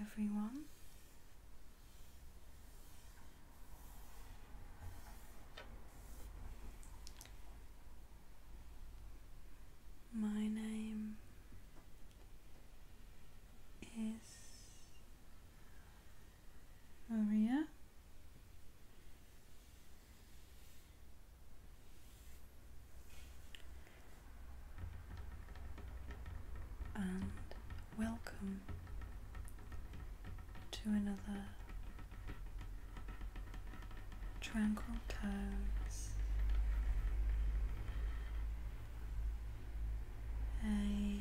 everyone. My name is Maria and welcome to another tranquil times. a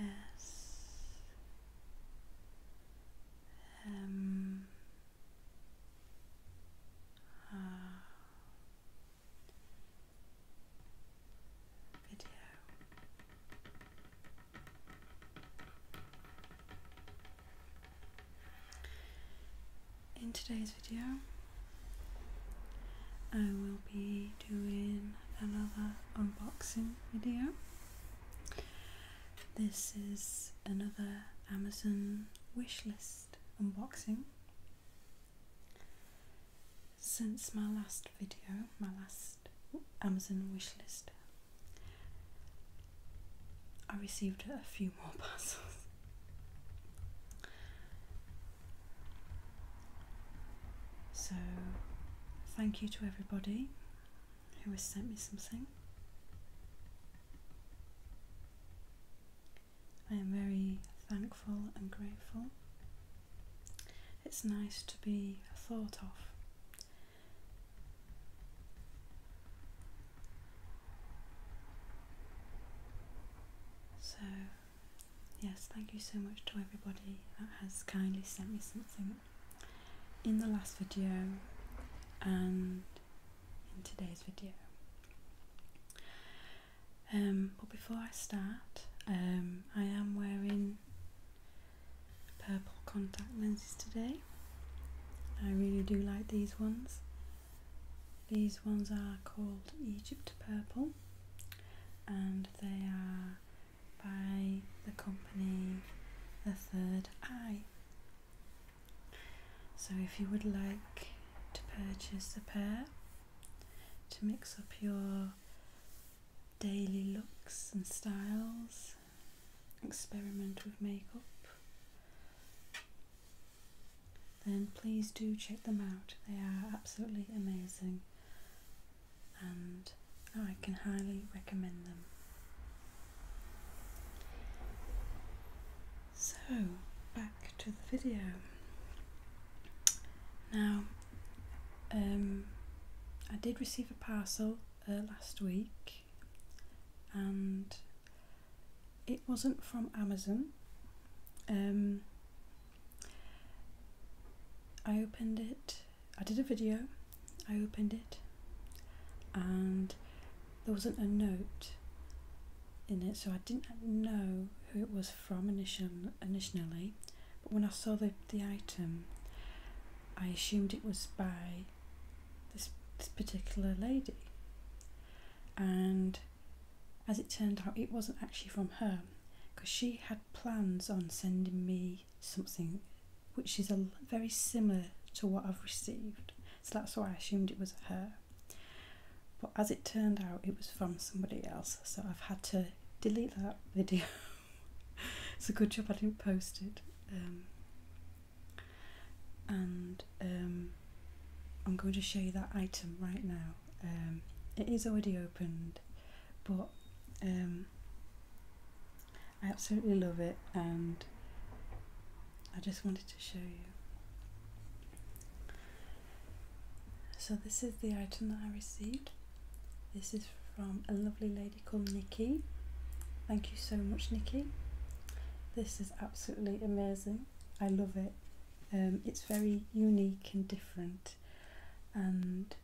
S M uh, video. In today's video, I will be doing another unboxing video. This is another Amazon wish list unboxing since my last video, my last Amazon wish list. I received a few more parcels. So, thank you to everybody who has sent me something. I am very thankful and grateful. It's nice to be thought of. So, yes, thank you so much to everybody that has kindly sent me something in the last video and in today's video. Um, but before I start, um, I am wearing purple contact lenses today. I really do like these ones. These ones are called Egypt Purple and they are by the company The Third Eye so, if you would like to purchase a pair to mix up your daily looks and styles, experiment with makeup, then please do check them out. They are absolutely amazing and I can highly recommend them. So, back to the video. Now, um, I did receive a parcel uh, last week and it wasn't from Amazon. Um, I opened it, I did a video, I opened it, and there wasn't a note in it, so I didn't know who it was from initial, initially. But when I saw the, the item, I assumed it was by this, this particular lady. And as it turned out, it wasn't actually from her because she had plans on sending me something which is a, very similar to what I've received. So that's why I assumed it was her. But as it turned out, it was from somebody else, so I've had to delete that video. it's a good job I didn't post it. Um, and um, I'm going to show you that item right now. Um, it is already opened, but I absolutely love it, and I just wanted to show you. So this is the item that I received. This is from a lovely lady called Nikki. Thank you so much Nikki. This is absolutely amazing. I love it. Um, it's very unique and different and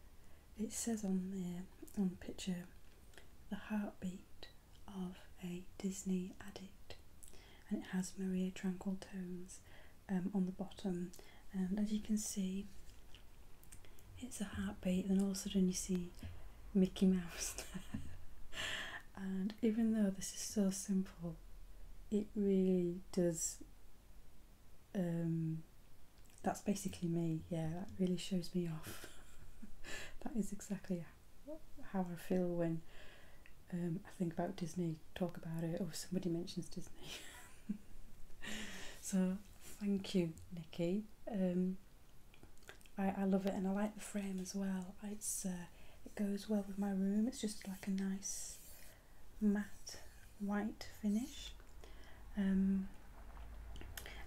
it says on there on the picture the heartbeat of a Disney addict, and it has Maria Tranquil Tones um, on the bottom. And as you can see, it's a heartbeat, and all of a sudden, you see Mickey Mouse. and even though this is so simple, it really does. Um, that's basically me, yeah, that really shows me off. that is exactly how I feel when um, I think about Disney, talk about it, or somebody mentions Disney. so thank you, Nikki. Um, I, I love it, and I like the frame as well. It's uh, it goes well with my room. It's just like a nice matte white finish. Um,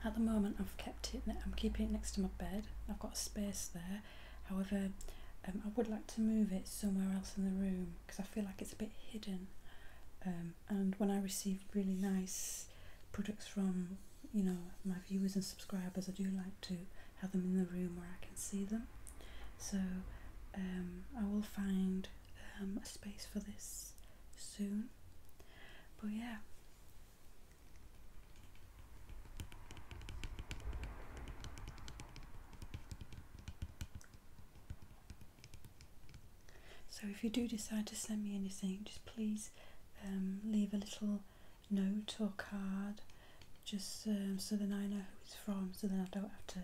at the moment, I've kept it. I'm keeping it next to my bed. I've got a space there However, um, I would like to move it somewhere else in the room because I feel like it's a bit hidden. Um, and when I receive really nice products from you know my viewers and subscribers, I do like to have them in the room where I can see them. So um, I will find a space for this soon. But yeah, so if you do decide to send me anything, just please um, leave a little note or card, just um, so then I know who it's from, so then I don't have to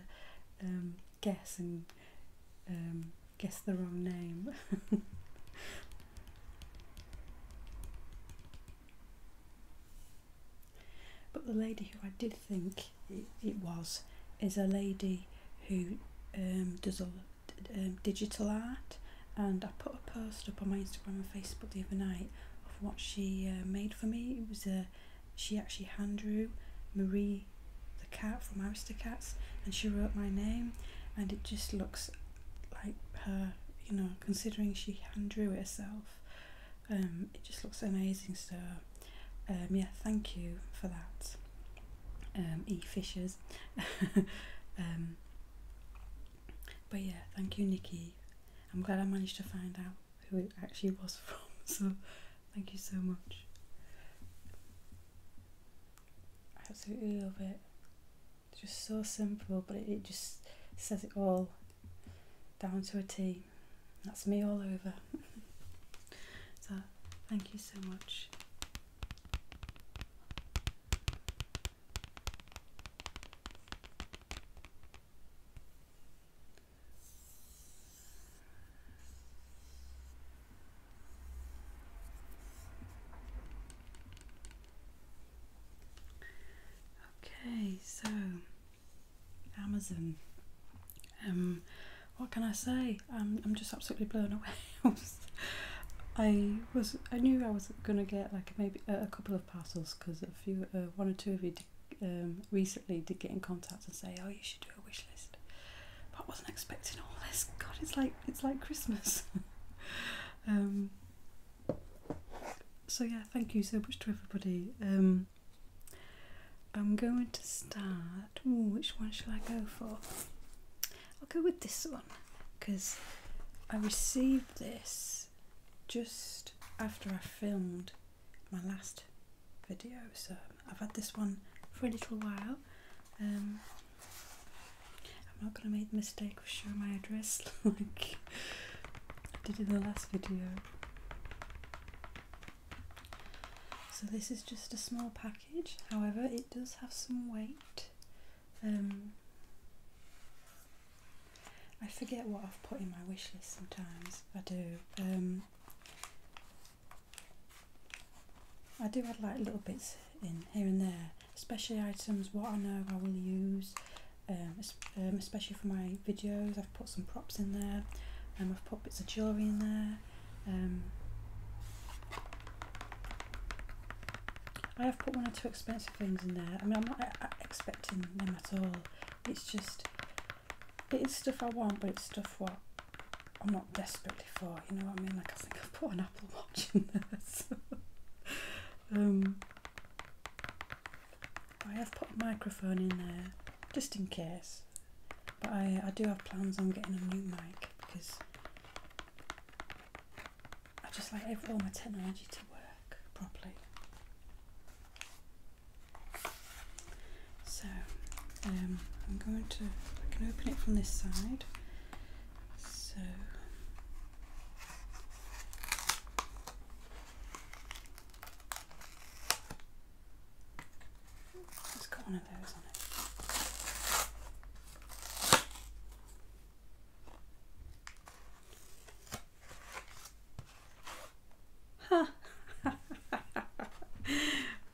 um, guess and guess the wrong name. But the lady who I did think it, was is a lady who um, does all um, digital art, and I put a post up on my Instagram and Facebook the other night of what she uh, made for me. It was a uh, she actually hand drew Marie the cat from Aristocats, and she wrote my name, and it just looks like her, you know, considering she hand drew it herself. Um, it just looks amazing so um, yeah thank you for that um, E Fishers but yeah thank you Nikki I'm glad I managed to find out who it actually was from so thank you so much I absolutely love it it's just so simple but it just says it all down to a T. That's me all over. so, thank you so much. Okay, so Amazon. Um, what can I say? I'm I'm just absolutely blown away. I was I knew I was gonna get like maybe a, couple of parcels because a few uh, one or two of you um, recently did get in contact and say oh you should do a wish list, but I wasn't expecting all this. God, it's like it's like Christmas. Um, so yeah, thank you so much to everybody. Um, I'm going to start. which one shall I go for? I'll go with this one because I received this just after I filmed my last video, so I've had this one for a little while. Um, I'm not going to make the mistake of showing my address like I did in the last video. So this is just a small package, however it does have some weight. Um, I forget what I've put in my wish list sometimes, I do. Um, I do add like little bits in here and there, especially items what I know I will use um, um, especially for my videos. I've put some props in there, and um, I've put bits of jewellery in there. I have put one or two expensive things in there. I mean, I'm not expecting them at all. It's just, it is stuff I want, but it's stuff what I'm not desperately for. You know what I mean? Like I think I've put an Apple Watch in there. I have put a microphone in there just in case, but I, I do have plans on getting a new mic because I just like all my technology to work properly. So um, I'm going to, I can open it from this side. So it's got one of those on it. Huh.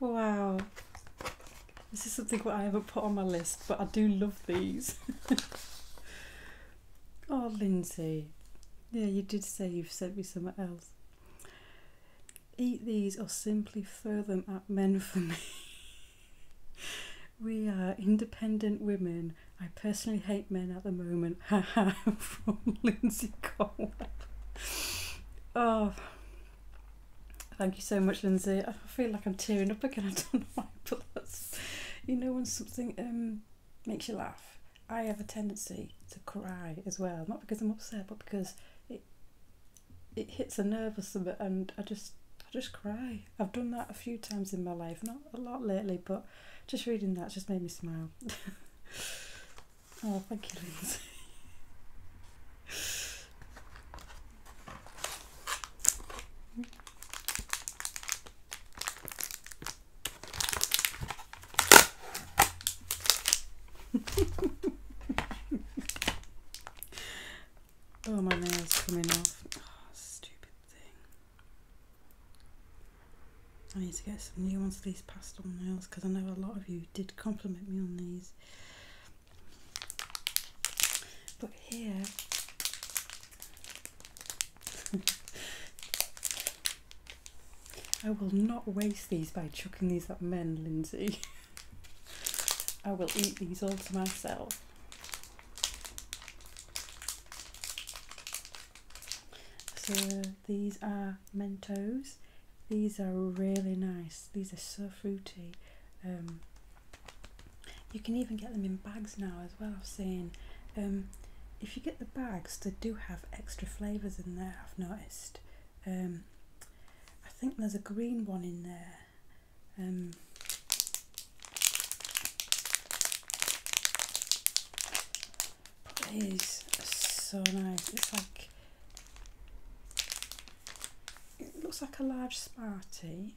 wow. This is something that I ever put on my list, but I do love these. oh, Lindsay. Yeah, you did say you've sent me somewhere else. Eat these or simply throw them at men for me. we are independent women. I personally hate men at the moment. Haha, from Lindsay Cole. Oh, thank you so much, Lindsay. I feel like I'm tearing up again. I don't know why, but you know, when something um, makes you laugh. I have a tendency to cry as well, not because I'm upset, but because it it hits a nerve or something, and I just I just cry. I've done that a few times in my life, not a lot lately, but just reading that just made me smile. oh, thank you, oh, my nail's coming off. Oh, stupid thing. I need to get some new ones of these pastel nails because I know a lot of you did compliment me on these. But here, I will not waste these by chucking these at men, Lindsay. I will eat these all to myself. So these are Mentos. These are really nice. These are so fruity. Um, you can even get them in bags now as well I've seen um, if you get the bags they do have extra flavours in there I've noticed um, I think there's a green one in there um, it is so nice it's like it looks like a large smartie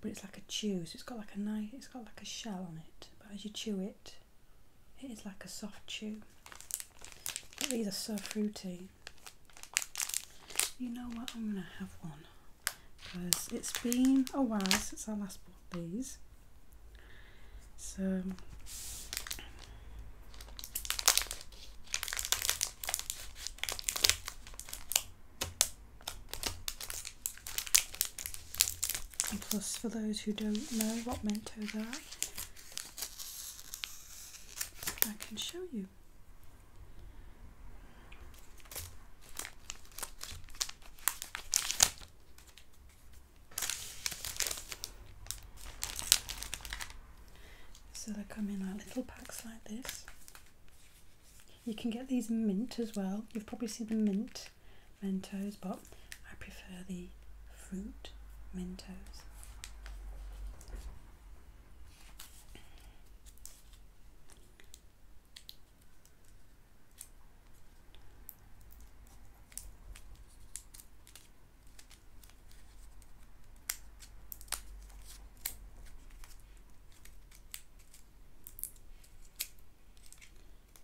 but it's like a chew so it's got like a nice it's got like a shell on it but as you chew it it is like a soft chew. these are so fruity. You know what? I'm gonna have one because it's been a while since I last bought these. So and plus, for those who don't know what Mentos are, I can show you. So they come in like little packs like this. You can get these mint as well. You've probably seen the mint Mentos, but I prefer the fruit Mentos.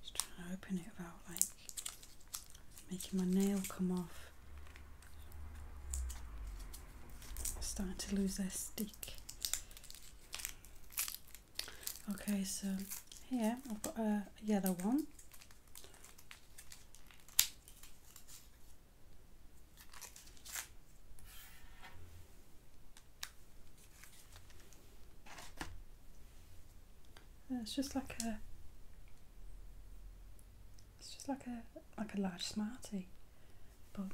Just trying to open it without like making my nail come off. starting to lose their stick. Okay, so here I've got uh, a yellow one it's just like a it's just like a like a large smartie but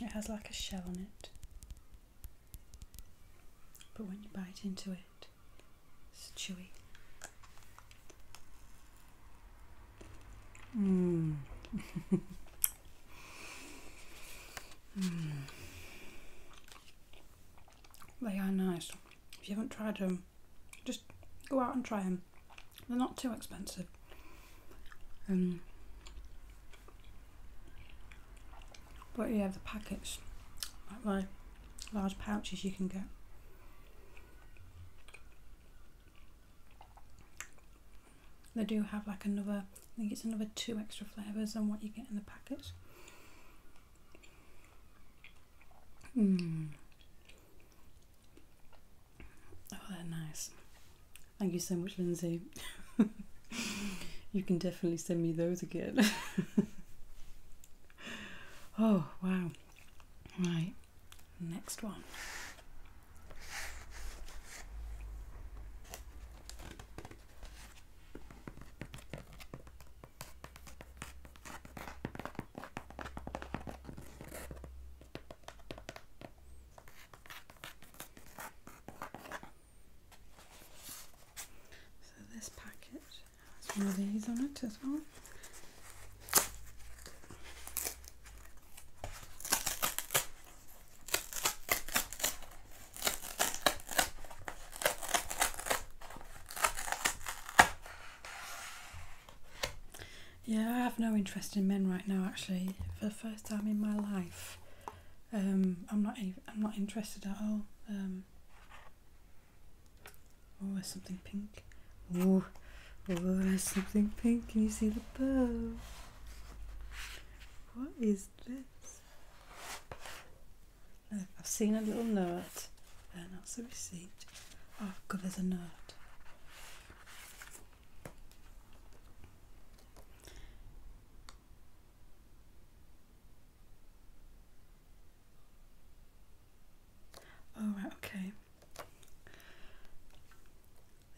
it has like a shell on it but when you bite into it it's chewy mm. Hmm. They are nice. If you haven't tried them, just go out and try them. They're not too expensive. Um, but you have the packets, like the large pouches you can get. They do have like another, I think it's another two extra flavours than what you get in the packet. Mm. Oh, they're nice. Thank you so much, Lindsay. you can definitely send me those again. oh, wow. Right, next one. So this packet has one of these on it as well. Yeah, I have no interest in men right now. Actually, for the first time in my life, um, I'm not. I'm not interested at all. Um, oh, there's something pink. Oh, oh, there's something pink. Can you see the bow? What is I've seen a little note. and that's a receipt. Oh, God, there's a note. Oh, right, okay.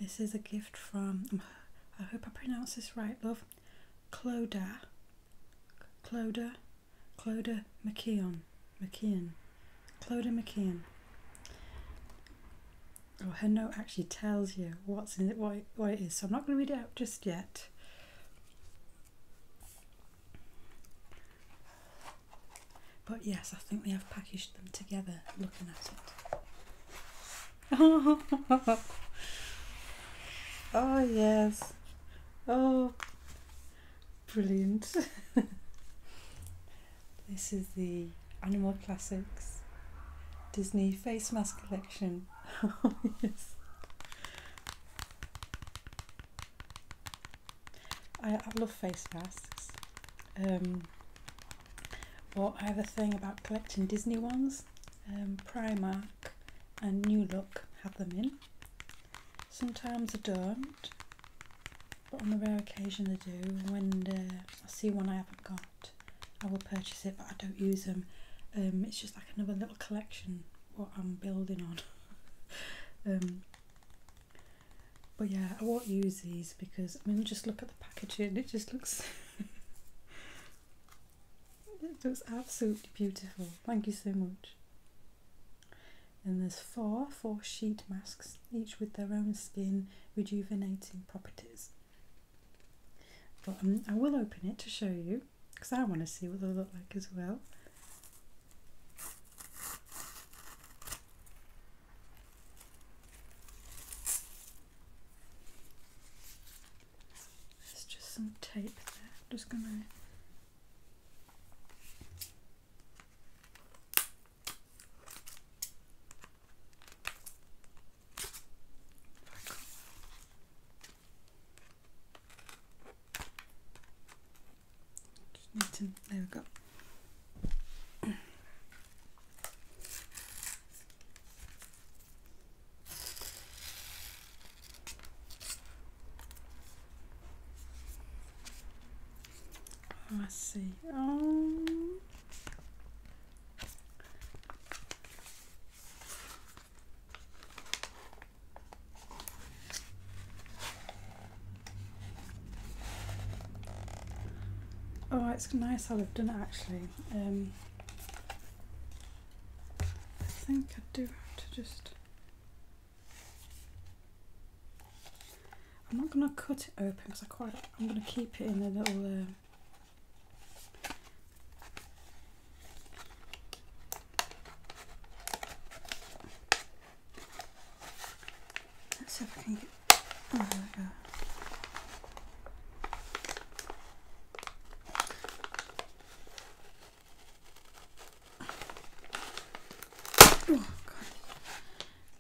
This is a gift from, I hope I pronounce this right, love. Clodagh, Clodagh, Cloda McKeon, McKeon, Clodagh McKeon. Oh, her note actually tells you what's in it, what it is. So I'm not going to read it out just yet. But yes, I think we have packaged them together looking at it. oh yes. Oh brilliant. this is the Animal Classics Disney face mask collection. oh yes. I, I love face masks. Um, but I have a thing about collecting Disney ones um, Primark and New Look have them in. Sometimes I don't, but on the rare occasion I do. When uh, I see one I haven't got, I will purchase it, but I don't use them. Um, it's just like another little collection what I'm building on. Um, but yeah, I won't use these because I mean, just look at the packaging; it just looks It looks absolutely beautiful. Thank you so much. And there's four, four sheet masks, each with their own skin rejuvenating properties. But um, I will open it to show you because I want to see what they look like as well. There's just some tape there. just going to Just need to, there we go. Let's oh, see. Um, oh, it's nice how they've done it actually. Um, I think I do have to just... I'm not going to cut it open because I quite... I'm going to keep it in a little... Uh, let's see if I can get... Oh, there we go.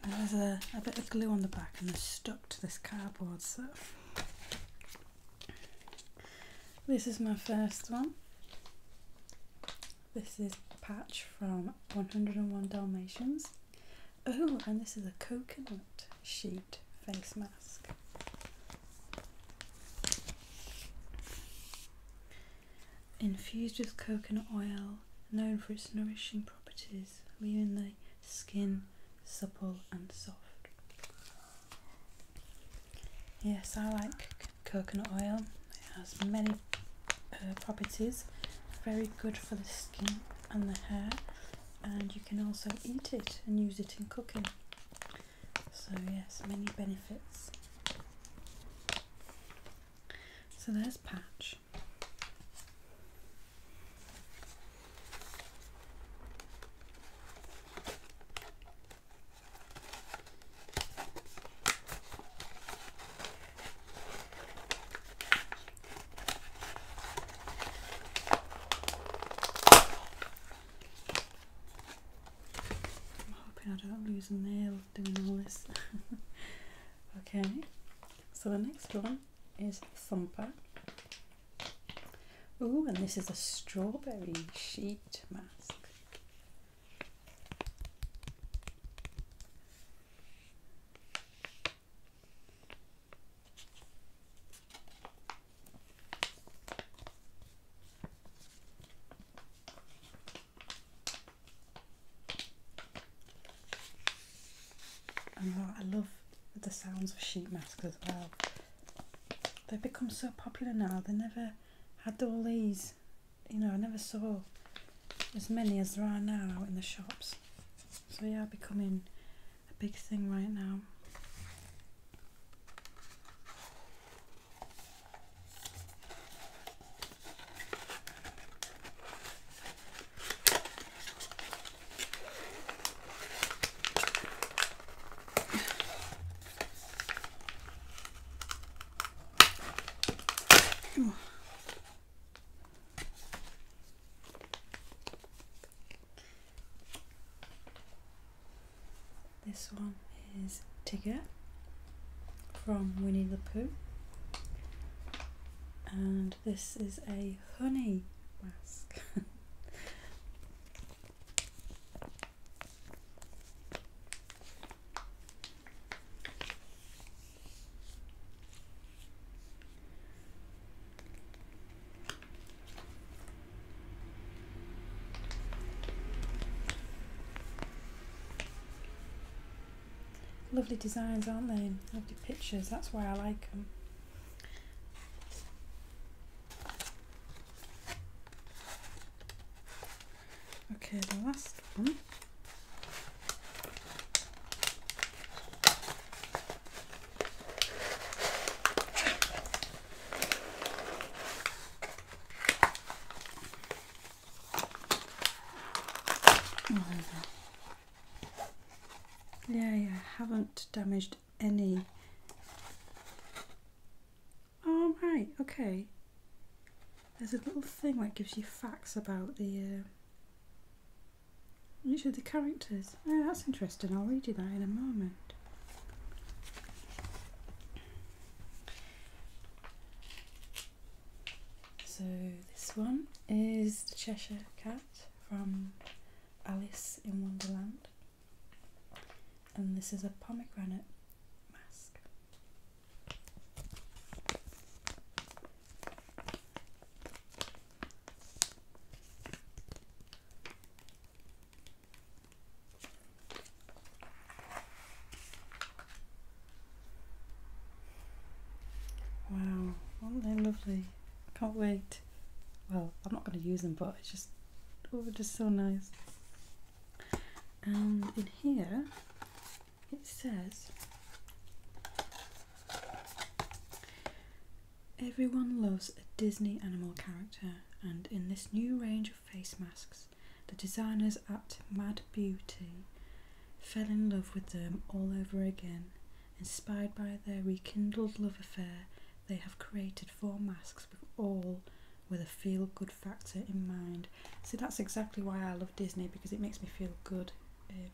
Oh, there's a, bit of glue on the back and they're stuck to this cardboard so this is my first one this is patch from 101 Dalmatians oh and this is a coconut sheet face mask. Infused with coconut oil, known for its nourishing properties, leaving the skin supple and soft. Yes, I like coconut oil, it has many uh, properties, very good for the skin and the hair, and you can also eat it and use it in cooking. So, yes, many benefits. So, there's Patch. I'm hoping I don't lose a nail doing all this. okay, so the next one is Thumper. Ooh, and this is a strawberry sheet mask. I love the sounds of sheet masks as well. They've become so popular now. They never had all these, you know, I never saw as many as there are now in the shops. So yeah, becoming a big thing right now. This one is Tigger from Winnie the Pooh, and this is a honey mask. Lovely designs, aren't they? Lovely pictures, that's why I like them. Okay, the last one. Mm-hmm. Yeah, yeah, I haven't damaged any. Oh, right, okay. There's a little thing that gives you facts about the, uh, usually the characters. Oh, that's interesting. I'll read you that in a moment. So, this one is the Cheshire Cat from Alice in Wonderland, and this is a pomegranate mask. Wow, aren't they lovely? can't wait. Well, I'm not going to use them, but it's just, oh, just so nice. And in here, it says Everyone loves a Disney animal character, and in this new range of face masks, the designers at Mad Beauty fell in love with them all over again. Inspired by their rekindled love affair, they have created four masks with all with a feel good factor in mind. So that's exactly why I love Disney because it makes me feel good. Uh,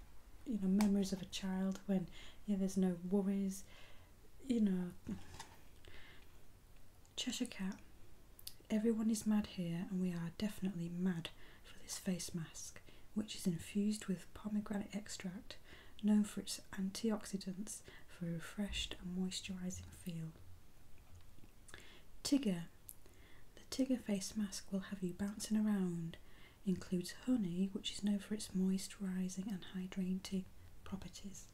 you know, memories of a child when there's no worries, you know, Cheshire Cat. Everyone is mad here, and we are definitely mad for this face mask, which is infused with pomegranate extract, known for its antioxidants for a refreshed and moisturising feel. Tiger, The Tiger face mask will have you bouncing around. Includes honey, which is known for its moisturising and hydrating properties.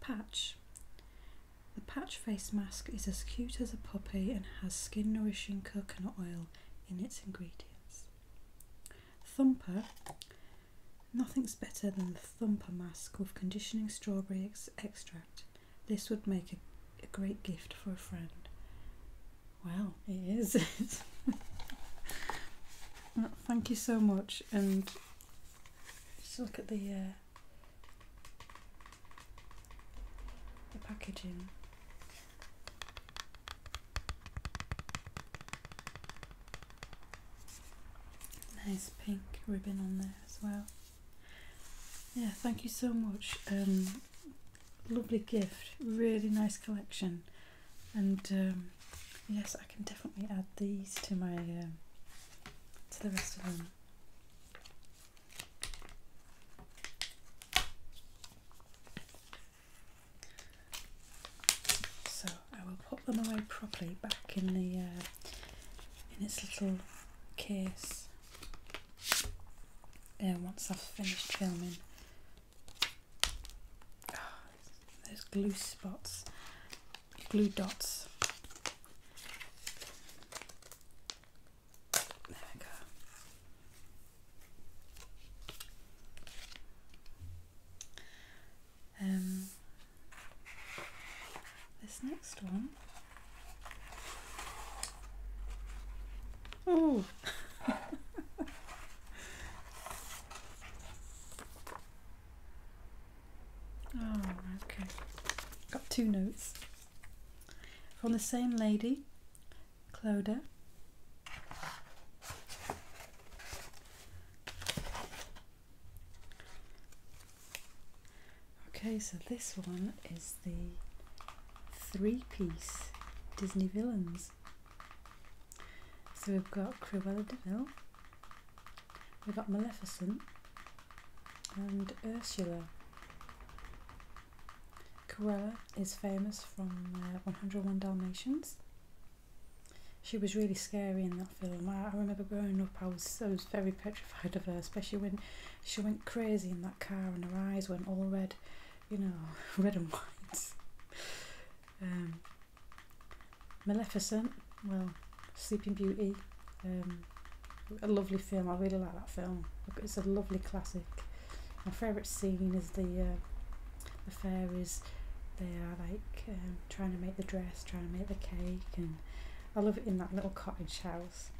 Patch. The patch face mask is as cute as a puppy and has skin nourishing coconut oil in its ingredients. Thumper. Nothing's better than the thumper mask with conditioning strawberry extract. This would make a, a great gift for a friend. Well, it is. thank you so much, and just look at the uh, the packaging. Nice pink ribbon on there as well. Yeah, thank you so much. Um, lovely gift, really nice collection and um, yes, I can definitely add these to my uh, to the rest of them. So I will put them away properly back in the uh, in its little case. Uh, once I've finished filming those glue spots, glue dots. There we go. Um, this next one. Oh. Oh, okay. Got two notes from the same lady, Cloda. Okay, so this one is the three piece Disney villains. So we've got Cruella de Vil, We've got Maleficent and Ursula. Cruella is famous from uh, 101 Dalmatians. She was really scary in that film. I, remember growing up, I was so very petrified of her, especially when she went crazy in that car and her eyes went all red, you know, red and white. Um, Maleficent, well, Sleeping Beauty, um, a lovely film. I really like that film. It's a lovely classic. My favourite scene is the uh, the fairies. They are like um, trying to make the dress, trying to make the cake, and I love it in that little cottage house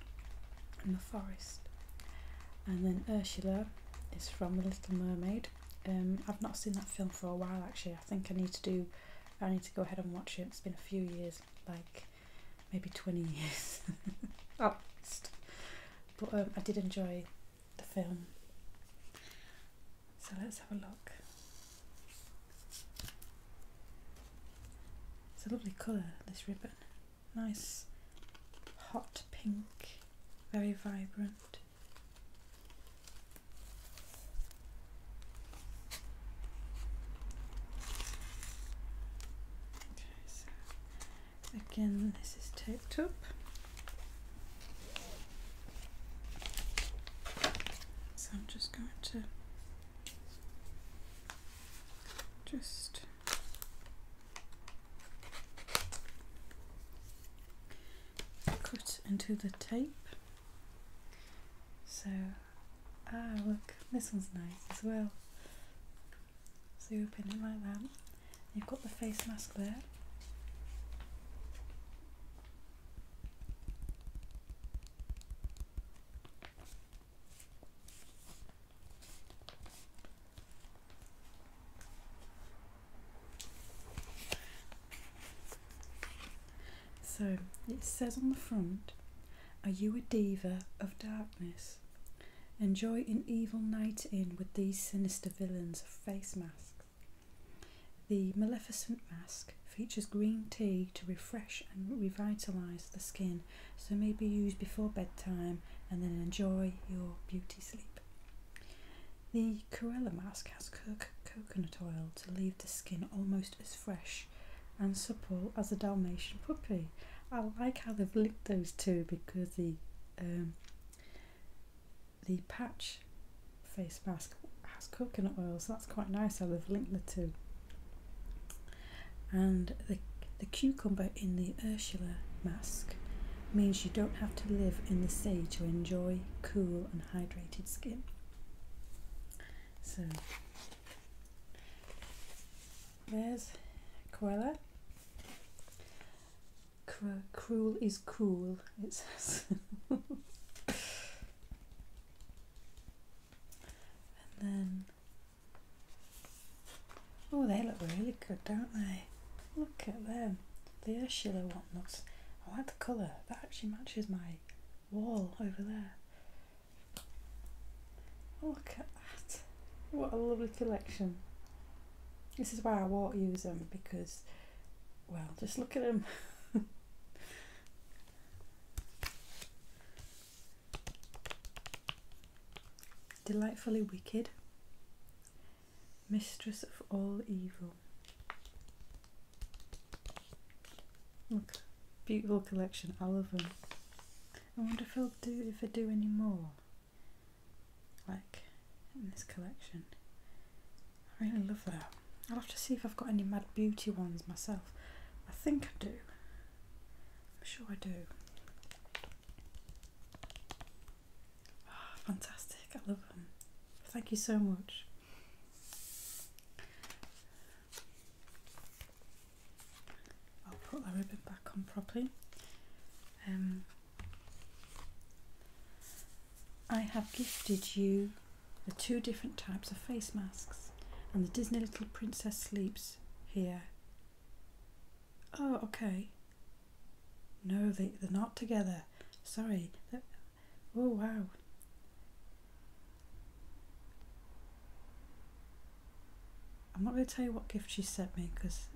in the forest. And then Ursula is from The Little Mermaid. Um, I've not seen that film for a while actually. I think I need to do. I need to go ahead and watch it. It's been a few years, like maybe twenty years, at But um, I did enjoy the film. So let's have a look. It's a lovely colour, this ribbon. Nice hot pink, very vibrant again, this is taped up. So I'm just going to just cut into the tape so, ah, look, this one's nice as well. So you open it like that. You've got the face mask there. So it says on the front, Are you a diva of darkness? Enjoy an evil night in with these sinister villains of face masks. The Maleficent Mask features green tea to refresh and revitalise the skin, so may be used before bedtime and then enjoy your beauty sleep. The Corella mask has coconut oil to leave the skin almost as fresh and supple as a Dalmatian puppy. I like how they've linked those two because the um, the patch face mask has coconut oil, so that's quite nice how they've linked the two. And the, the cucumber in the Ursula mask means you don't have to live in the sea to enjoy cool and hydrated skin. So there's Cruella. Cru cruel is cool, It's and then, oh, they look really good, don't they? Look at them, the Ursula I like the colour. That actually matches my wall over there. Oh, look at that. What a lovely collection. This is why I won't use them because, well, just look at them. Delightfully wicked. Mistress of all evil. Okay, beautiful collection. I love them. I wonder if I'll do if I do any more. Like in this collection, I really love that. I'll have to see if I've got any Mad Beauty ones myself. I think I do. I'm sure I do. Oh, fantastic! I love them. Thank you so much. I'll put the ribbon back on properly. Um, I have gifted you the two different types of face masks and the Disney Little Princess Sleeps here. Oh, okay. No, they, they're not together. Sorry, Oh, wow. I'm not going to tell you what gift she sent me because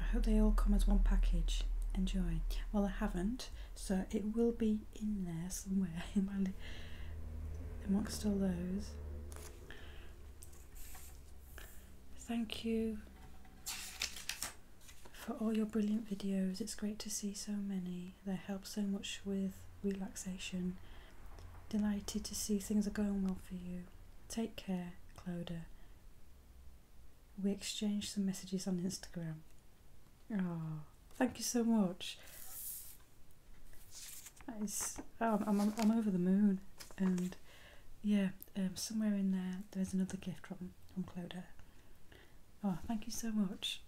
I hope they all come as one package. Enjoy. Well, I haven't, so it will be in there somewhere in amongst all those. Thank you for all your brilliant videos. It's great to see so many. They help so much with relaxation. Delighted to see things are going well for you. Take care, Clodagh. We exchanged some messages on Instagram. Oh, thank you so much. Oh, I'm, I'm, I'm over the moon. And yeah, um, somewhere in there, there's another gift from, from Cloda. Oh, thank you so much.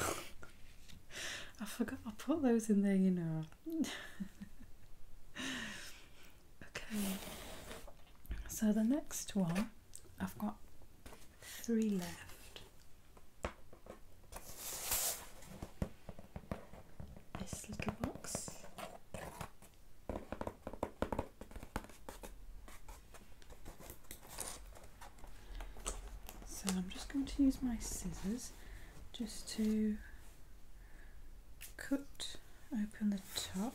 I forgot I put those in there, you know. okay, so the next one I've got three left. This little box. So I'm just going to use my scissors just to cut open the top.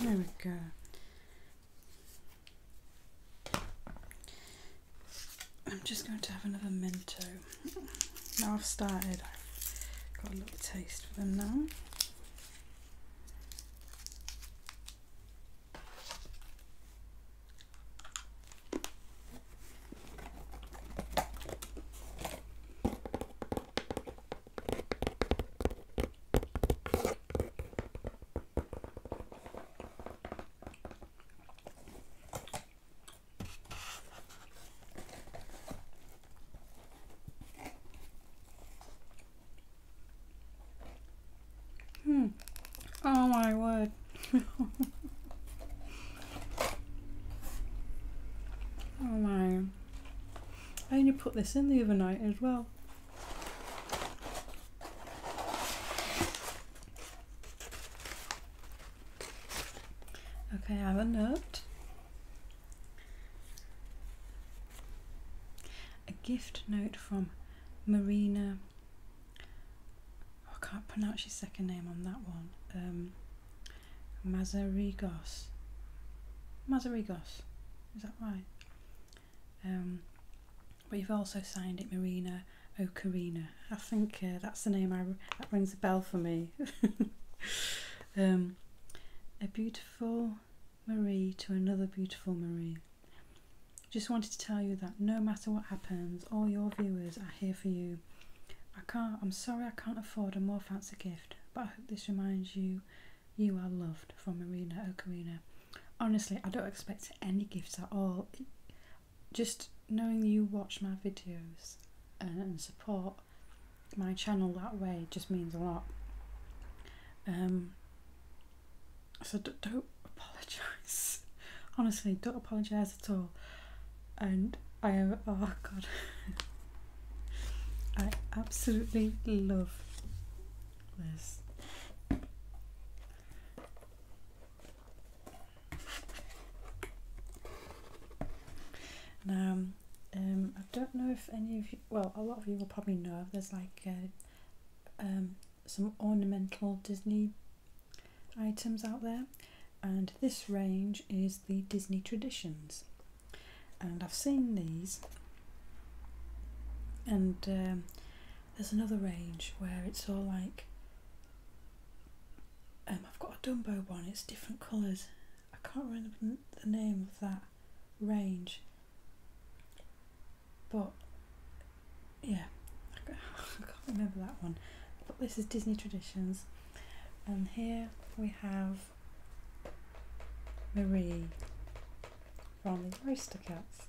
There we go. I'm just going to have another Mento. Now I've started, got a little taste for them now. Hmm. Oh my word. oh my. I only put this in the other night as well. Okay, I have a note. A gift note from Marina I can't pronounce his second name on that one. Um, Mazarigos. Mazarigos, is that right? Um, but you've also signed it Marina Ocarina. I think uh, that's the name I, that rings a bell for me. Um, a beautiful Marie to another beautiful Marie. Just wanted to tell you that no matter what happens, all your viewers are here for you I can't I'm sorry I can't afford a more fancy gift, but I hope this reminds you you are loved from Marina Ocarina. Honestly, I don't expect any gifts at all. Just knowing you watch my videos and support my channel that way just means a lot. Um, so don't, don't apologise. Honestly, don't apologise all and I am oh god I absolutely love this now um, I don't know if any of you well a lot of you will probably know there's like uh, um, some ornamental Disney items out there and this range is the Disney Traditions and I've seen these and um, there's another range where it's all like um, I've got a Dumbo one it's different colours I can't remember the name of that range but yeah I can't remember that one, but this is Disney Traditions, and here we have Marie from the Oyster Cats.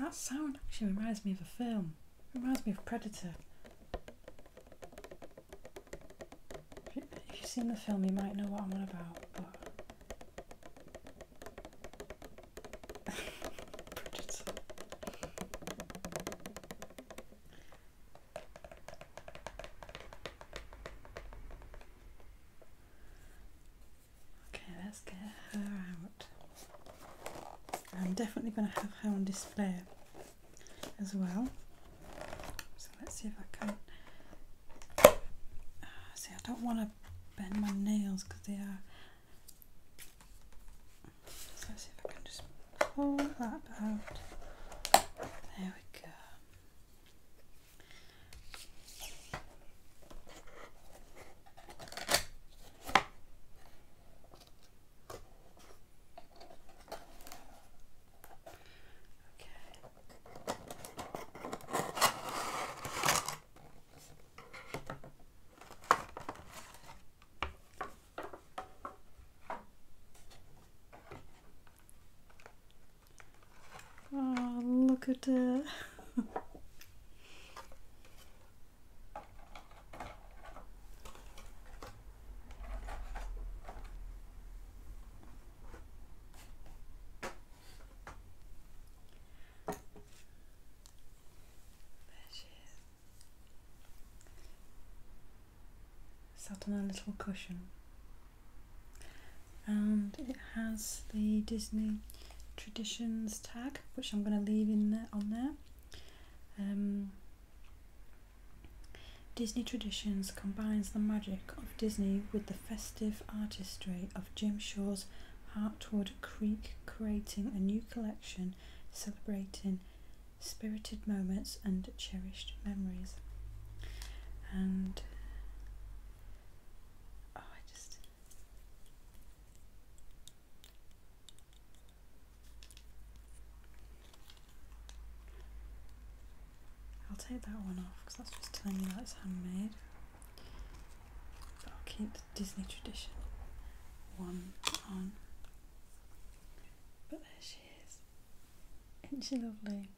Oh, that sound actually reminds me of a film. Reminds me of Predator. If, you, have seen the film, you might know what I'm on about. But Okay, let's get her out. I'm definitely going to have her on display as well. So let's see if I can. Ah, see, I don't want to bend my nails because they are. So let's see if I can just pull that out. There we go. Oh, look at that. There she is. Sat on a little cushion, and it has the Disney Traditions tag, which I'm going to leave in there on there. Um, Disney Traditions combines the magic of Disney with the festive artistry of Jim Shaw's Hartwood Creek, creating a new collection celebrating spirited moments and cherished memories. And oh, I just I'll take that one off because that's just telling you that's handmade. But I'll keep the Disney tradition one on. But there she is. Isn't she lovely?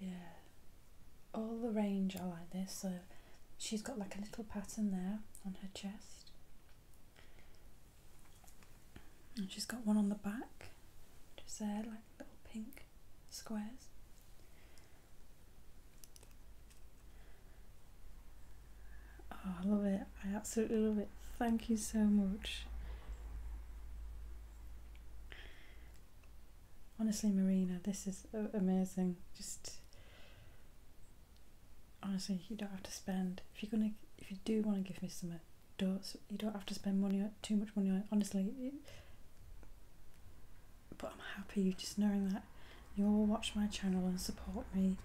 yeah all the range are like this so she's got like a little pattern there on her chest and she's got one on the back just there like little pink squares oh I love it I absolutely love it thank you so much Honestly, Marina, this is amazing. Just honestly, you don't have to spend if you're gonna if you do want to give me some, do you don't have to spend money too much money Honestly, but I'm happy you just knowing that you all watch my channel and support me.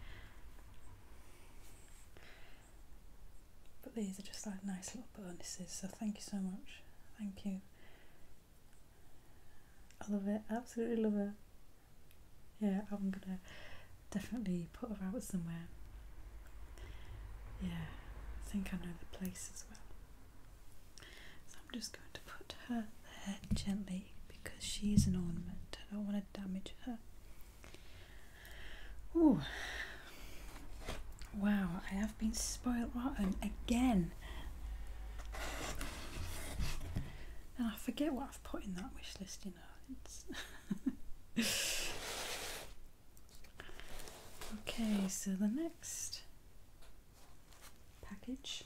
But these are just like nice little bonuses, so thank you so much. Thank you. I love it. Absolutely love it. Yeah, I'm gonna definitely put her out somewhere. Yeah, I think I know the place as well. So I'm just going to put her there gently because she's an ornament. I don't want to damage her. Ooh, Wow, I have been spoiled rotten again. And I forget what I've put in that wish list, you know. okay, so the next package.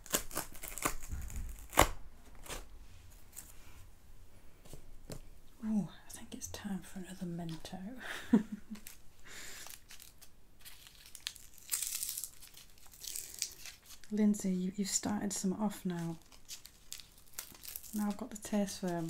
Oh, I think it's time for another Mento. Lindsay, you, have started some off now. Now I've got the taste for them.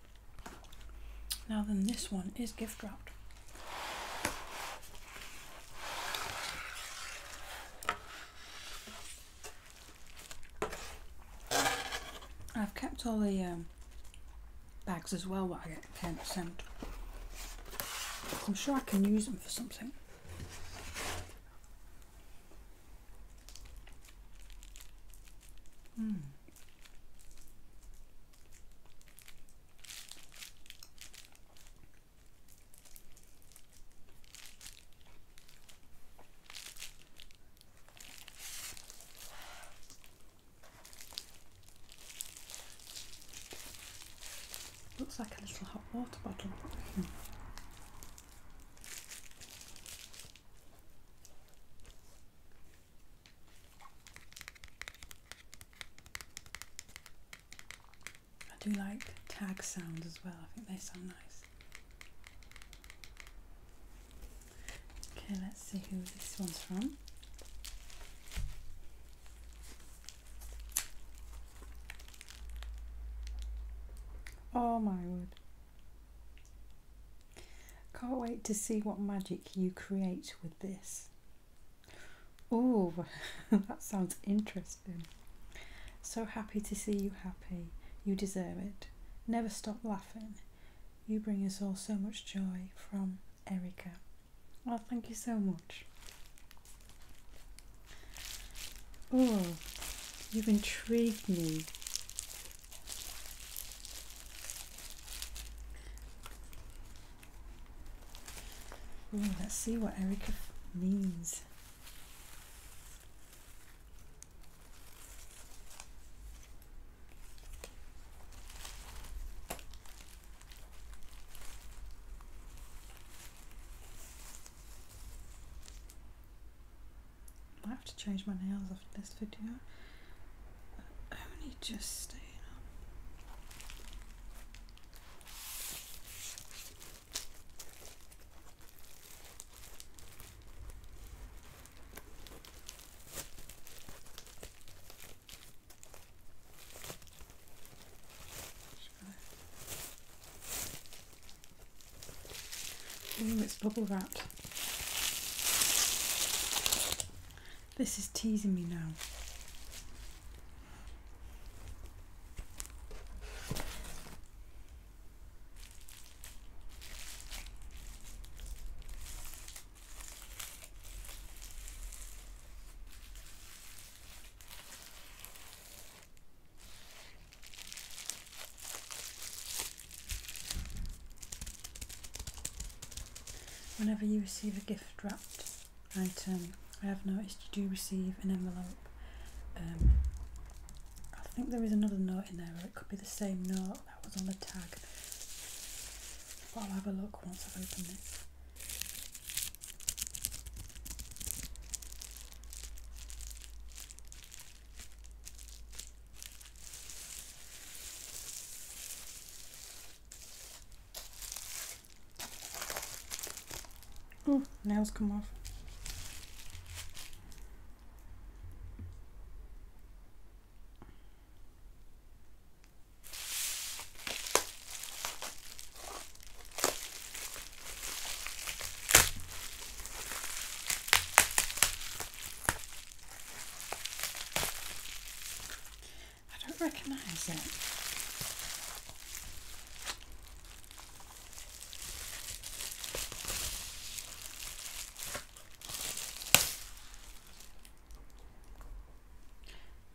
Now then this one is gift wrapped. I've kept all the um, bags as well what I get sent. I'm sure I can use them for something. Mm. Looks like a little hot water bottle. I do like tag sounds as well, I think they sound nice. Okay, let's see who this one's from. Oh my word. Can't wait to see what magic you create with this. Oh, that sounds interesting. So happy to see you happy. You deserve it. Never stop laughing. You bring us all so much joy from Erica. Well, oh, thank you so much. Oh, you've intrigued me let's see what Erica means. I have to change my nails after this video only just staying up. Ooh, it's bubble wrapped. This is teasing me now. Whenever you receive a gift wrapped item, I have noticed you do receive an envelope. Um, I think there is another note in there, or it could be the same note that was on the tag. But I'll have a look once I've opened it. Oh, nails come off. I don't recognise it.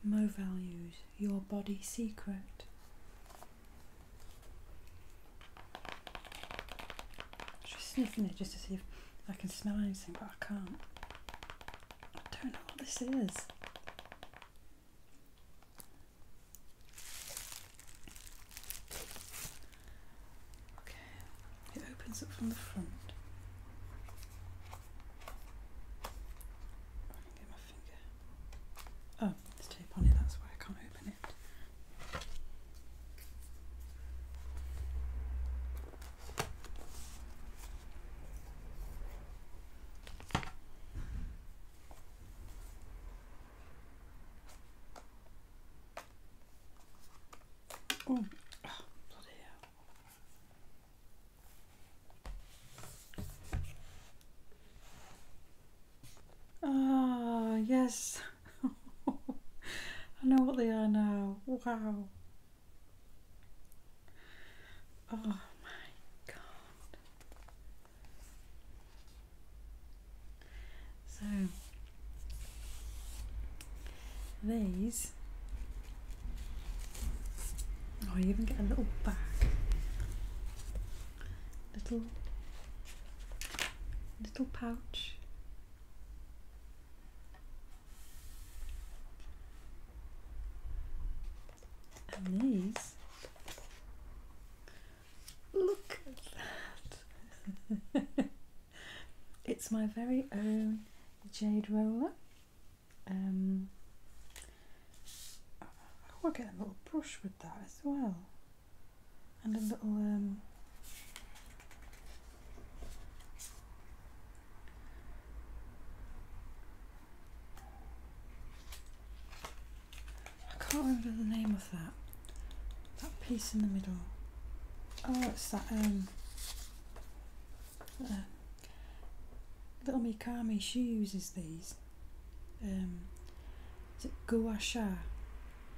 Mo Values, Your Body Secret. Just sniffing it just to see if I can smell anything, but I can't. I don't know what this is. Okay, it opens up from the front. I can get my finger. Oh, there's tape on it, that's why I can't open it. Ooh. Oh, bloody hell. Ah, yes. I know what they are now. Wow. Oh my god. So these Oh you even get a little bag. Little little pouch and these, look at that. it's my very own jade roller. Um, I'll get a little brush with that as well. And a little um, I can't remember the name of that. That piece in the middle. Oh, it's that um, uh, little Mikami. She uses these. Um, is it gua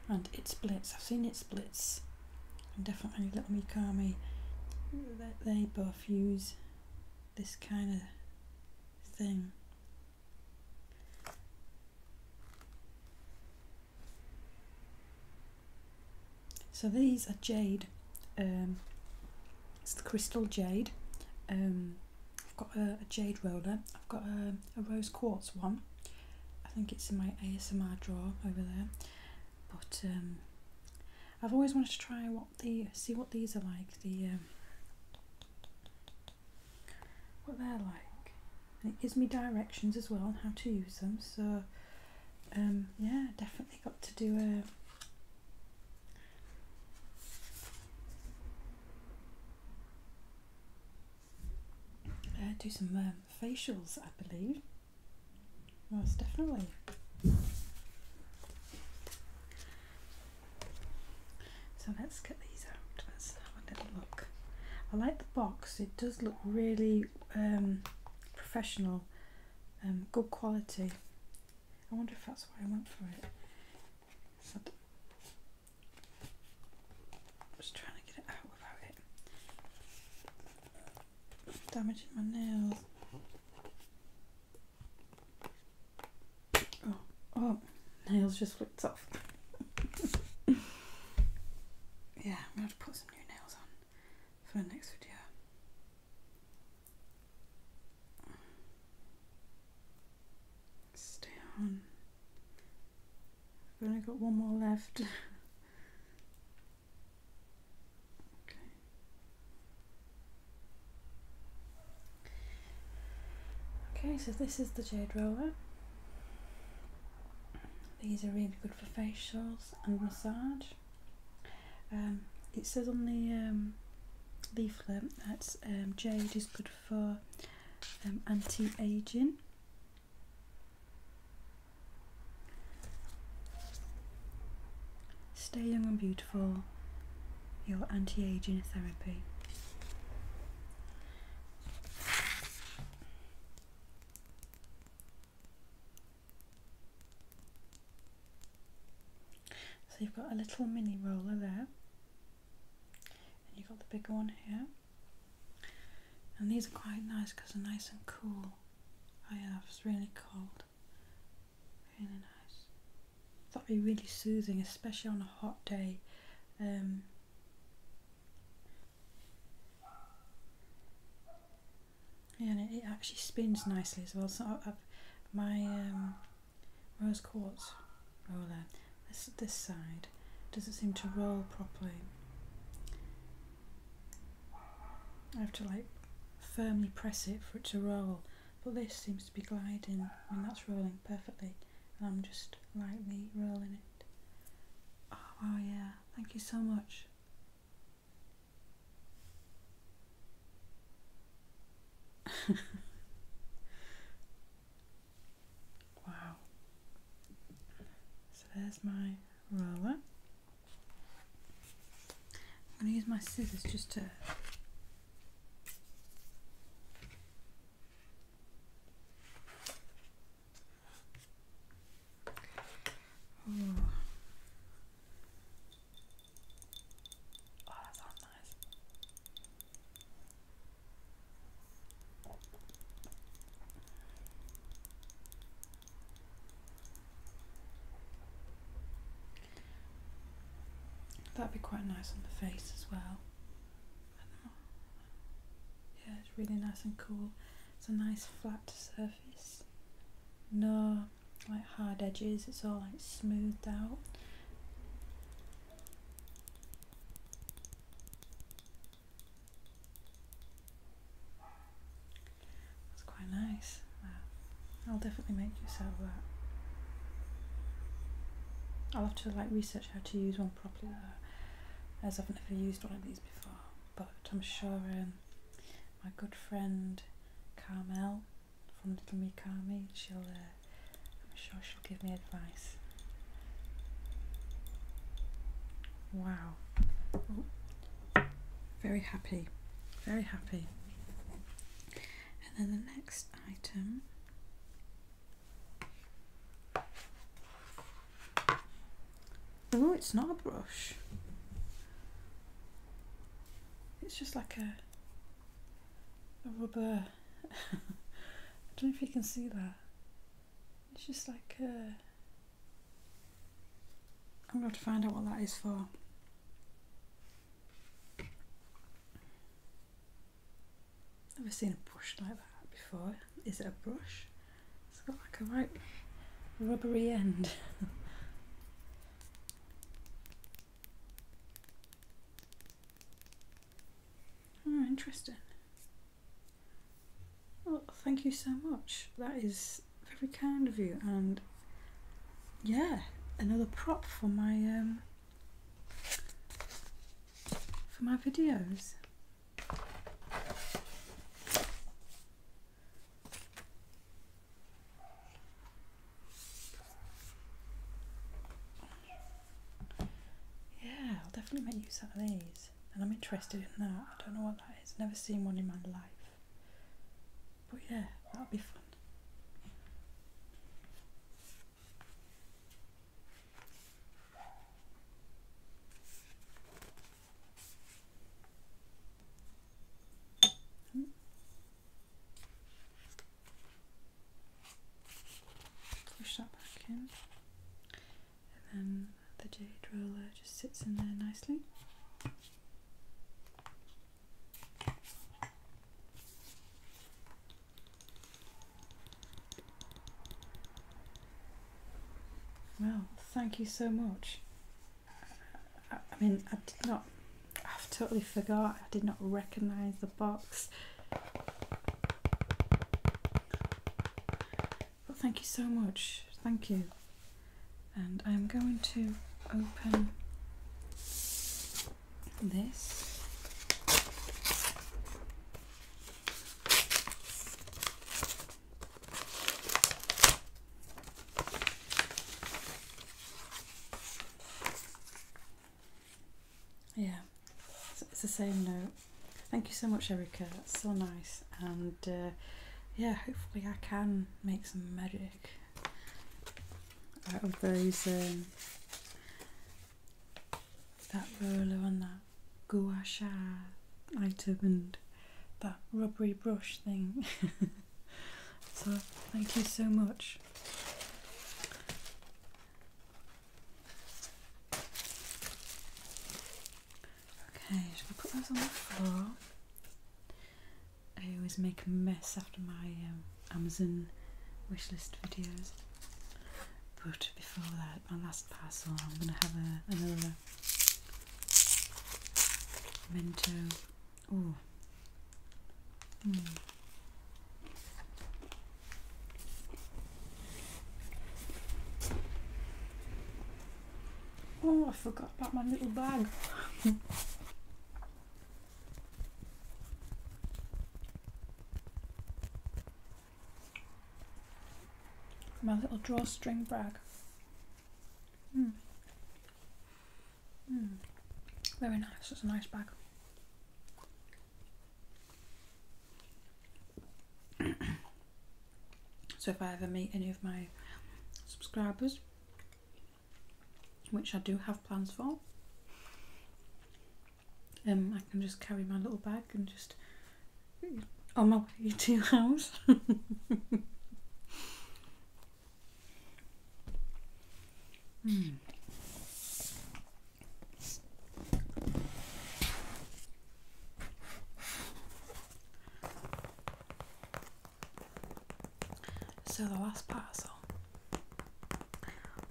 And it splits. I've seen it splits. And definitely little Mikami. They both use this kind of thing. So these are jade. Um, it's the crystal jade. Um, I've got a, jade roller. I've got a, rose quartz one. I think it's in my ASMR drawer over there. But um, I've always wanted to try what the see what these are like the um, what they're like and it gives me directions as well on how to use them so um, yeah definitely got to do a uh, do some um, facials I believe most definitely. So let's get these out. Let's have a little look. I like the box. It does look really um, professional, um, good quality. I wonder if that's why I went for it. just trying to get it out without it damaging my nails. Oh, oh, nails just flipped off. yeah, I'm gonna have to put some new nails on for the next video. Stay on. I've only got one more left. Okay. so this is the Jade Roller. These are really good for facials and massage. Um, it says on the um, leaflet that um, jade is good for um, anti-aging. Stay Young and Beautiful, your anti aging therapy. So you've got a little mini roller there, and you've got the bigger one here. And these are quite nice because they're nice and cool. Oh yeah, it's really cold. Really nice. That'd be really soothing, especially on a hot day. Um, yeah, and it, actually spins nicely as well. So my um, rose quartz roller, this, this side, doesn't seem to roll properly. I have to like firmly press it for it to roll but this seems to be gliding I mean that's rolling perfectly and I'm just lightly rolling it oh yeah thank you so much wow so there's my roller I'm going to use my scissors just to Oh, That'd be quite nice on the face as well. Yeah, it's really nice and cool. It's a nice flat surface. No like hard edges, it's all like smoothed out. That's quite nice. I'll definitely make use of that. I'll have to like research how to use one properly though, as I've never used one of these before. But I'm sure my good friend Carmel from Little Me Carmi, she'll, uh, I'm sure she'll give me advice. Wow. Very happy. Very happy. And then the next item Oh, it's not a brush. It's just like a rubber. I don't know if you can see that. It's just like a. I'm going to find out what that is for. Never seen a brush like that before. Is it a brush? It's got like a right rubbery end. oh, interesting. Well, thank you so much. That is very kind of you. And yeah, another prop for my um for my videos. Yeah, I'll definitely make use out of these. And I'm interested in that. I don't know what that is. Never seen one in my life. But yeah, that'll be fun. Push that back in, and then the jade roller just sits in there nicely. Well, thank you so much. I, mean, I did not, I've totally forgot, I did not recognise the box. But thank you so much. Thank you and I'm going to open this yeah it's the same note thank you so much Erica that's so nice and uh, yeah hopefully I can make some magic out of those um, that roller and that gua item and that rubbery brush thing. so thank you so much. Okay, should we put those on the floor? I always make a mess after my um, Amazon wishlist videos. But before that, my last parcel, I'm going to have a, another Mento. Oh. Hmm. Oh, I forgot about my little bag. My little drawstring bag. Mm. Mm. Very nice, it's a nice bag. so if I ever meet any of my subscribers which I do have plans for. Um, I can just carry my little bag and just on my way to your house. Hmm. So the last parcel.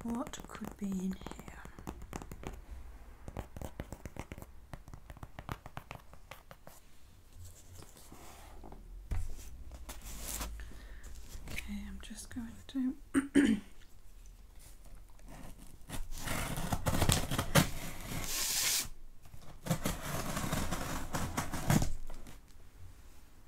What could be in here? Okay, I'm just going to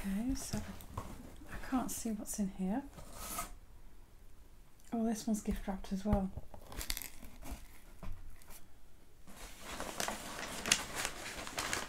Okay, so I can't see what's in here. Oh, this one's gift wrapped as well.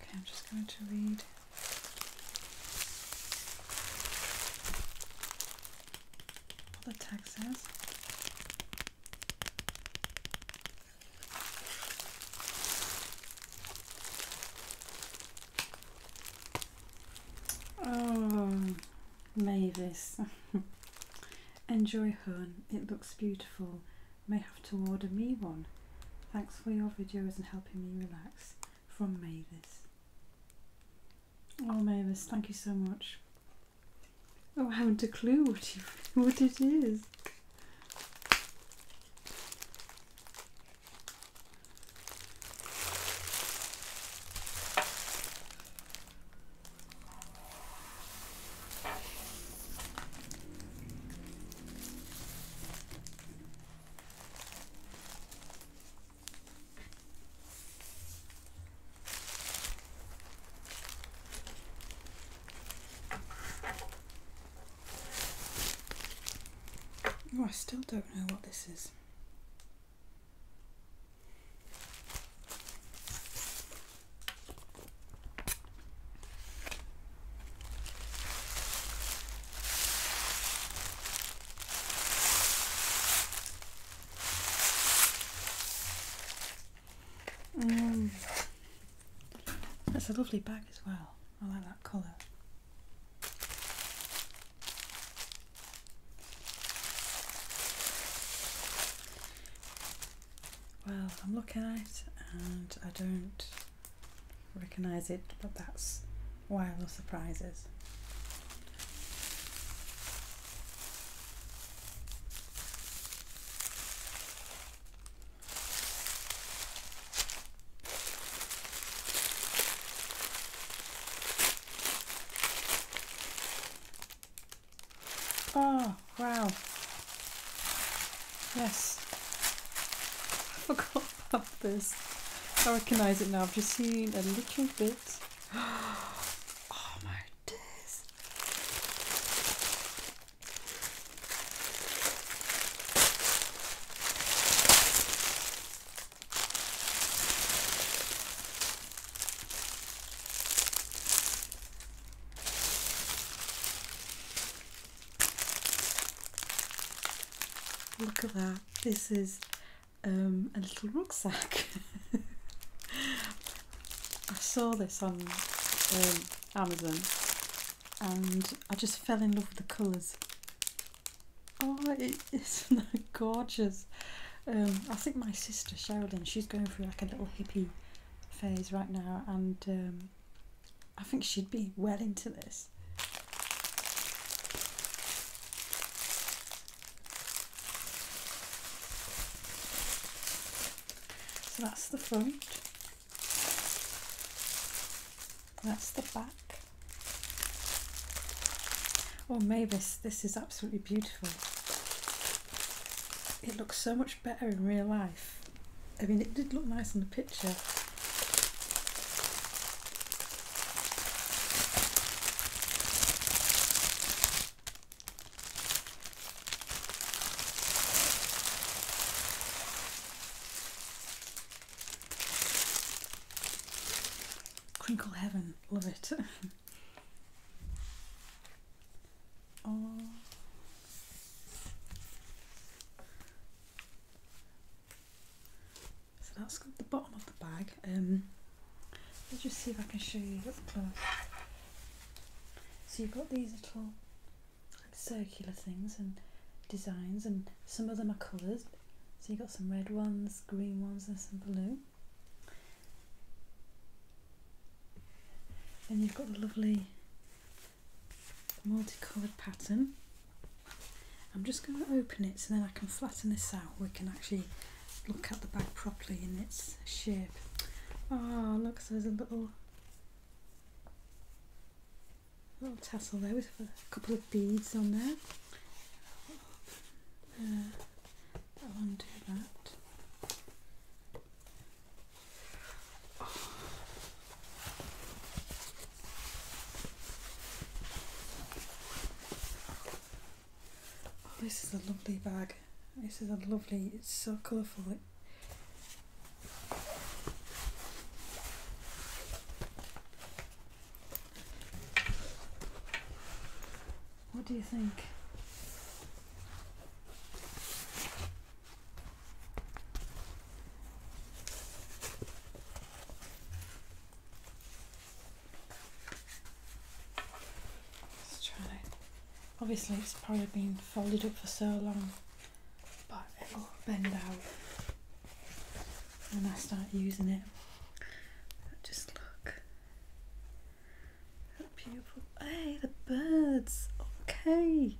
Okay, I'm just going to read all the tag says. Oh, Mavis. Enjoy Hun. It looks beautiful may have to order me one. Thanks for your videos and helping me relax. From Mavis. Oh Mavis, thank you so much. Oh, I haven't a clue what, what it is. I still don't know what this is. Um, that's a lovely bag as well. I like that colour. Well, I'm looking at it and I don't recognise it, but that's why I love surprises. Oh, wow. Yes. I forgot about this. I recognize it now. I've just seen a little bit. Oh my days. Look at that. This is um, a little rucksack. I saw this on um, Amazon and I just fell in love with the colours. Oh, it, gorgeous? Um, I think my sister Sherilyn, she's going through like a little hippie phase right now, and I think she'd be well into this. So that's the front. That's the back. Oh Mavis, this is absolutely beautiful. It looks so much better in real life. I mean, it did look nice on the picture. Crinkle Heaven, love it. oh. So that's got the bottom of the bag. Um, let's just see if I can show you up close. So you've got these little circular things and designs, and some of them are coloured. So you've got some red ones, green ones, and some blue. And you've got the lovely multicoloured pattern. I'm just going to open it so then I can flatten this out. We can actually look at the bag properly in its shape. Oh, look, there's a little little tassel there with a couple of beads on there. Uh, undo that. Oh, this is a lovely bag. This is a lovely, it's so colourful. What do you think? Let's try. Obviously, it's probably been folded up for so long, but it will bend out when I start using it. Just look. How beautiful. Hey, the birds. Okay.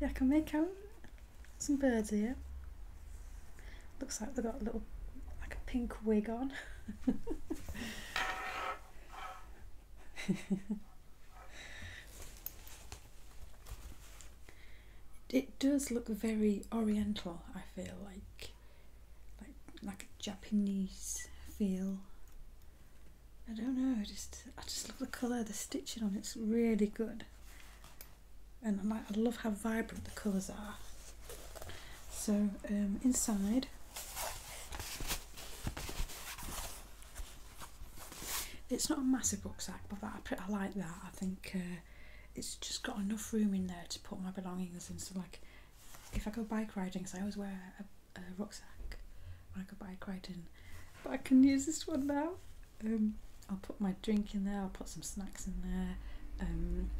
Yeah, I can make out some birds here. Looks like they've got a little, like a pink wig on. it does look very oriental, I feel like. Like, like a Japanese feel. I don't know, I just I just love the colour, the stitching on it's really good and I, love how vibrant the colours are so um, inside it's not a massive rucksack but I, I like that I think uh, it's just got enough room in there to put my belongings in so like if I go bike riding because I always wear a rucksack when I go bike riding but I can use this one now. Um, I'll put my drink in there, I'll put some snacks in there, um,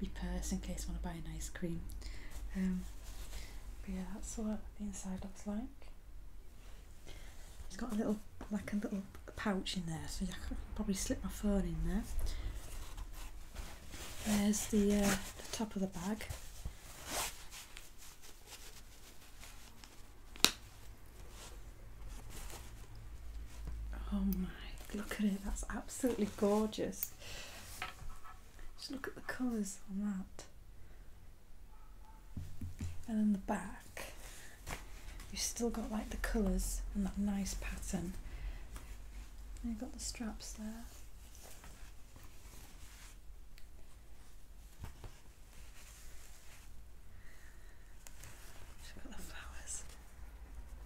my purse in case I want to buy an ice cream. Um, yeah, that's what the inside looks like. It's got a little, like a little pouch in there, so I can probably slip my phone in there. There's the uh, top of the bag. Oh my, look at it, that's absolutely gorgeous. Just look at the colours on that. And then the back, you've still got like the colours and that nice pattern. you've got the straps there. She's got the flowers.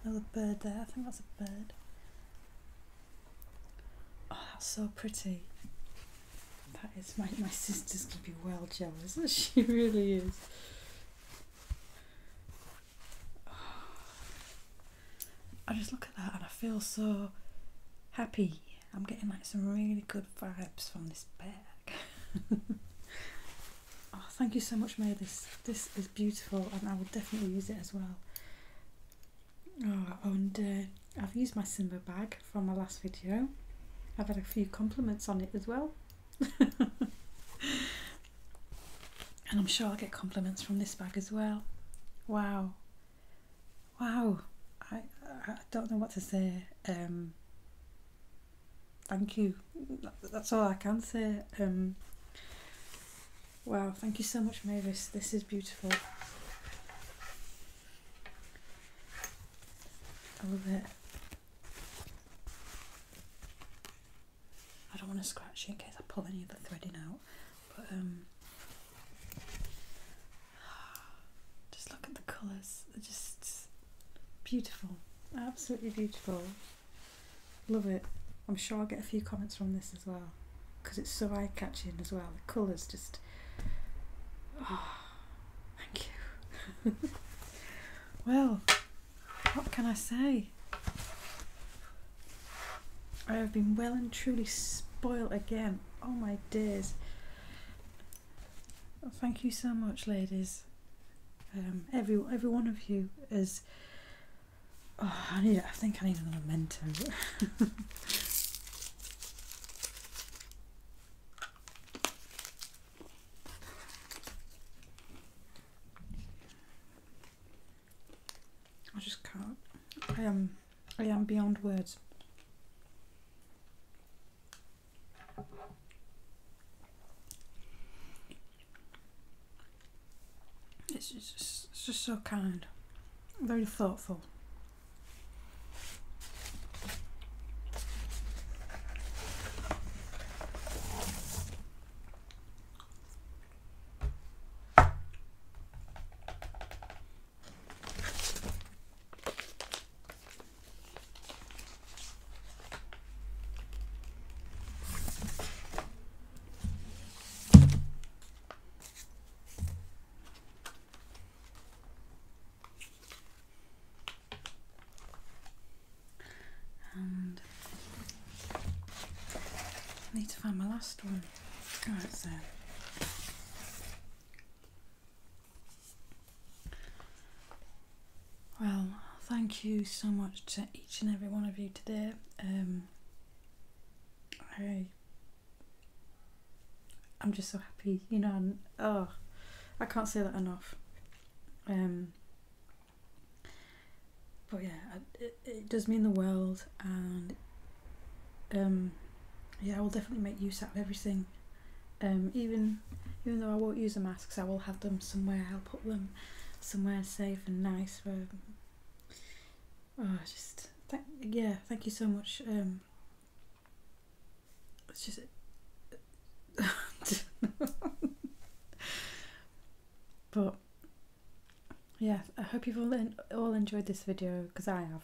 Another bird there. I think that's a bird. Oh, that's so pretty. That is my my sister's gonna be well jealous. She really is. Oh. I just look at that and I feel so happy I'm getting like some really good vibes from this bag. oh, thank you so much, May. This is beautiful, and I will definitely use it as well. Oh, and I've used my Simba bag from my last video. I've had a few compliments on it as well. and I'm sure I'll get compliments from this bag as well. Wow. Wow. I, I don't know what to say. Um, thank you. That's all I can say. Um, well, thank you so much, Mavis. This is beautiful. I love it. I don't want to scratch it in case I pull any of the threading out. But um, Just look at the colours, they're just beautiful, absolutely beautiful. Love it. I'm sure I'll get a few comments from this as well because it's so eye catching as well. The colours just. Ah, thank you. well, what can I say? I have been well and truly spoiled again. Oh my dears thank you so much, ladies. Um, every every one of you is. Oh, I need. I think I need a mentor. I just can't. I am. I am beyond words. It's just, just so kind, very thoughtful. I need to find my last one. Right, so well, thank you so much to each and every one of you today. Um, I, am just so happy, you know. oh, I can't say that enough. Um, but yeah, it, does mean the world, and um, yeah, I will definitely make use out of everything um, even even though I won't use the masks, I will have them somewhere. I'll put them somewhere safe and nice. For, oh, just th- yeah, thank you so much. Um, it's just. but yeah, I hope you've all, all enjoyed this video because I have.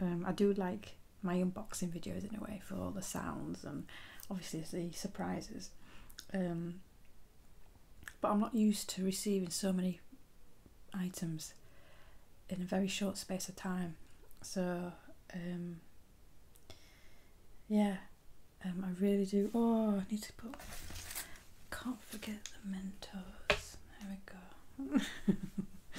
Um, I do like my unboxing videos in a way for all the sounds and obviously the surprises. Um, but I'm not used to receiving so many items in a very short space of time. So, um, yeah, um, I really do. Oh, I need to put. Can't forget the Mentos. There we go.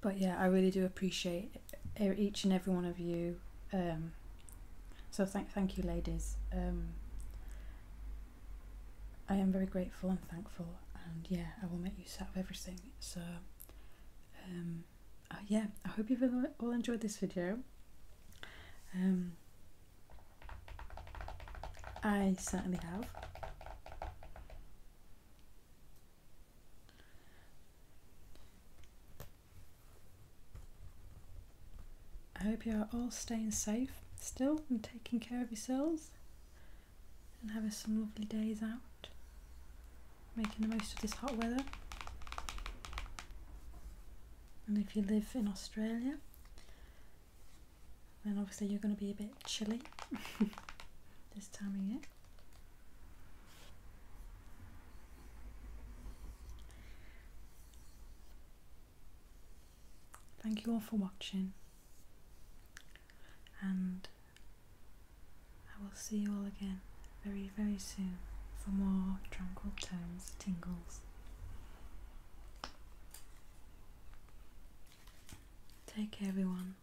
but yeah, I really do appreciate each and every one of you. Um, so thank thank you, ladies. Um, I am very grateful and thankful, and yeah, I will make use out of everything. So um, uh, yeah, I hope you've all enjoyed this video. I certainly have. I hope you are all staying safe still and taking care of yourselves and having some lovely days out, making the most of this hot weather. And if you live in Australia, then obviously you're going to be a bit chilly this time of year. Thank you all for watching, and I will see you all again very, very soon for more tranquil tones, tingles. Take care, everyone.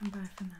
And bye for now.